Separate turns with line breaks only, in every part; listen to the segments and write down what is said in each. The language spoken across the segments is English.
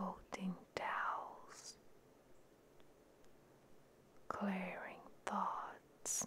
Folding towels clearing thoughts.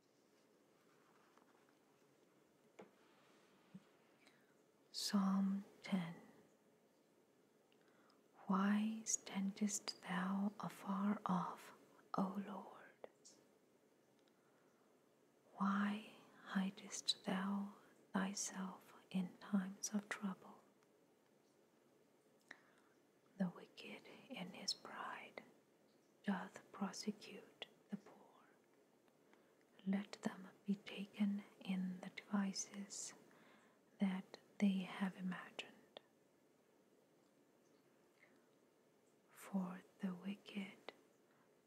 Psalm 10 Why standest thou afar off, O Lord? Why hidest thou thyself in times of trouble? The wicked in his pride doth prosecute the poor. Let them be taken in the devices that they have imagined. For the wicked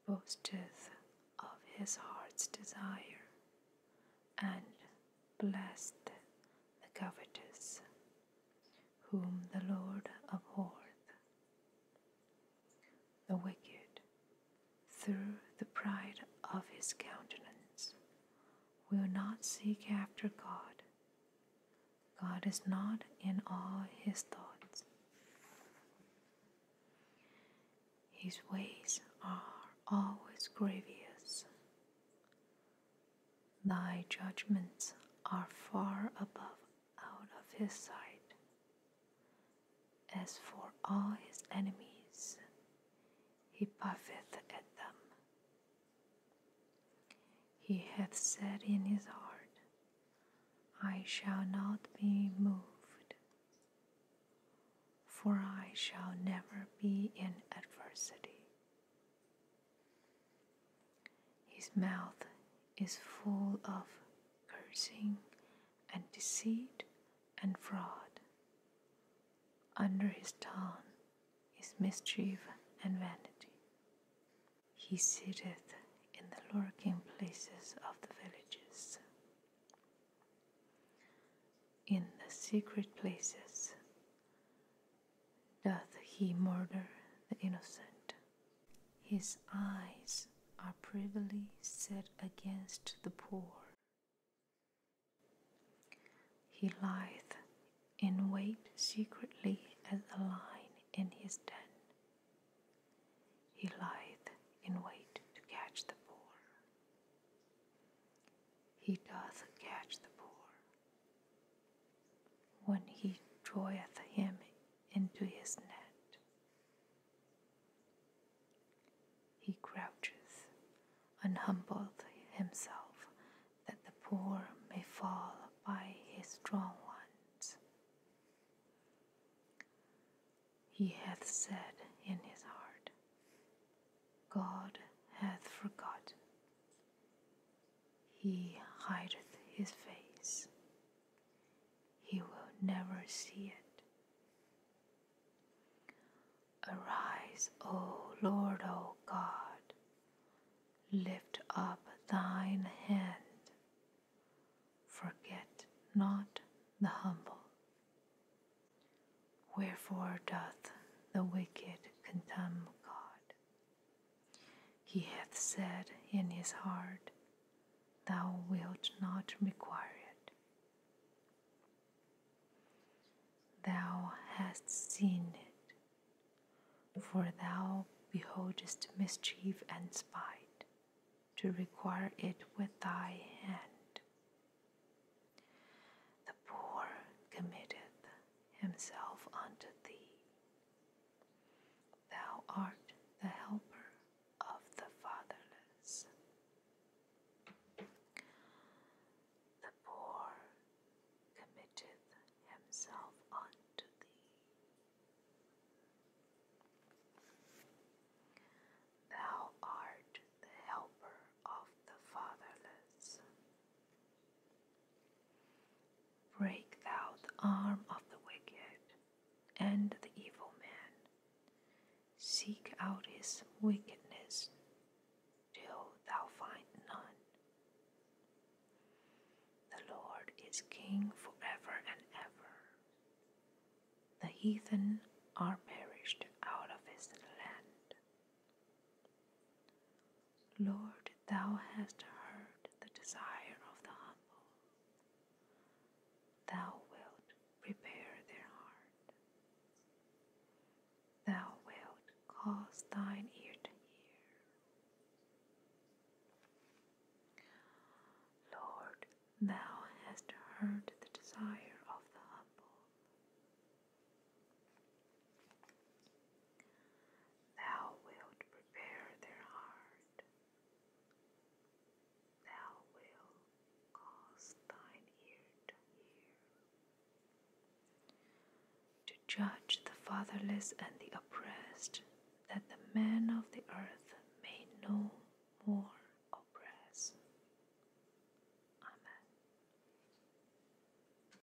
boasteth of his heart's desire, and blessed the covetous whom the Lord abhorreth. The wicked, through the pride of his countenance, will not seek after God. God is not in all his thoughts. His ways are always grievous. Thy judgments are far above out of his sight. As for all his enemies, he puffeth at them. He hath said in his heart, I shall not be moved, for I shall never be in adversity. His mouth is full of cursing and deceit and fraud. Under his tongue is mischief and vanity. He sitteth in the lurking places of the villages. In the secret places doth he murder the innocent. His eyes are privily set against the poor. He lieth in wait secretly as a lion in his den. He lieth in wait to catch the poor. He doth catch the poor when he draweth him into his net. He crouches, and humbleth himself that the poor may fall by his strong ones. He hath said in his heart, God hath forgotten he hideth his face, he will never see it. Arise, O Lord, O God, lift up thine hand, forget not the humble. Wherefore doth the wicked contemn God? He hath said in his heart, Thou wilt not require it. Thou hast seen it, for thou beholdest mischief and spite, to require it with thy hand. The poor committeth himself unto thee, Thou art the helper of the fatherless, the poor committeth himself unto thee. Thou art the helper of the fatherless, Break thou the arm of the wicked and the evil man. Seek out his wickedness till thou find none. The Lord is King forever and ever. The heathen are perished out of his land. Lord, thou hast heard the desire of the humble. Thou wilt prepare their heart. Thou wilt cause thine ear to hear. Lord, thou hast heard the desire of the humble. Thou wilt prepare their heart. Thou wilt cause thine ear to hear. To judge the fatherless and the oppressed, that the man of the earth may no more oppress. Amen.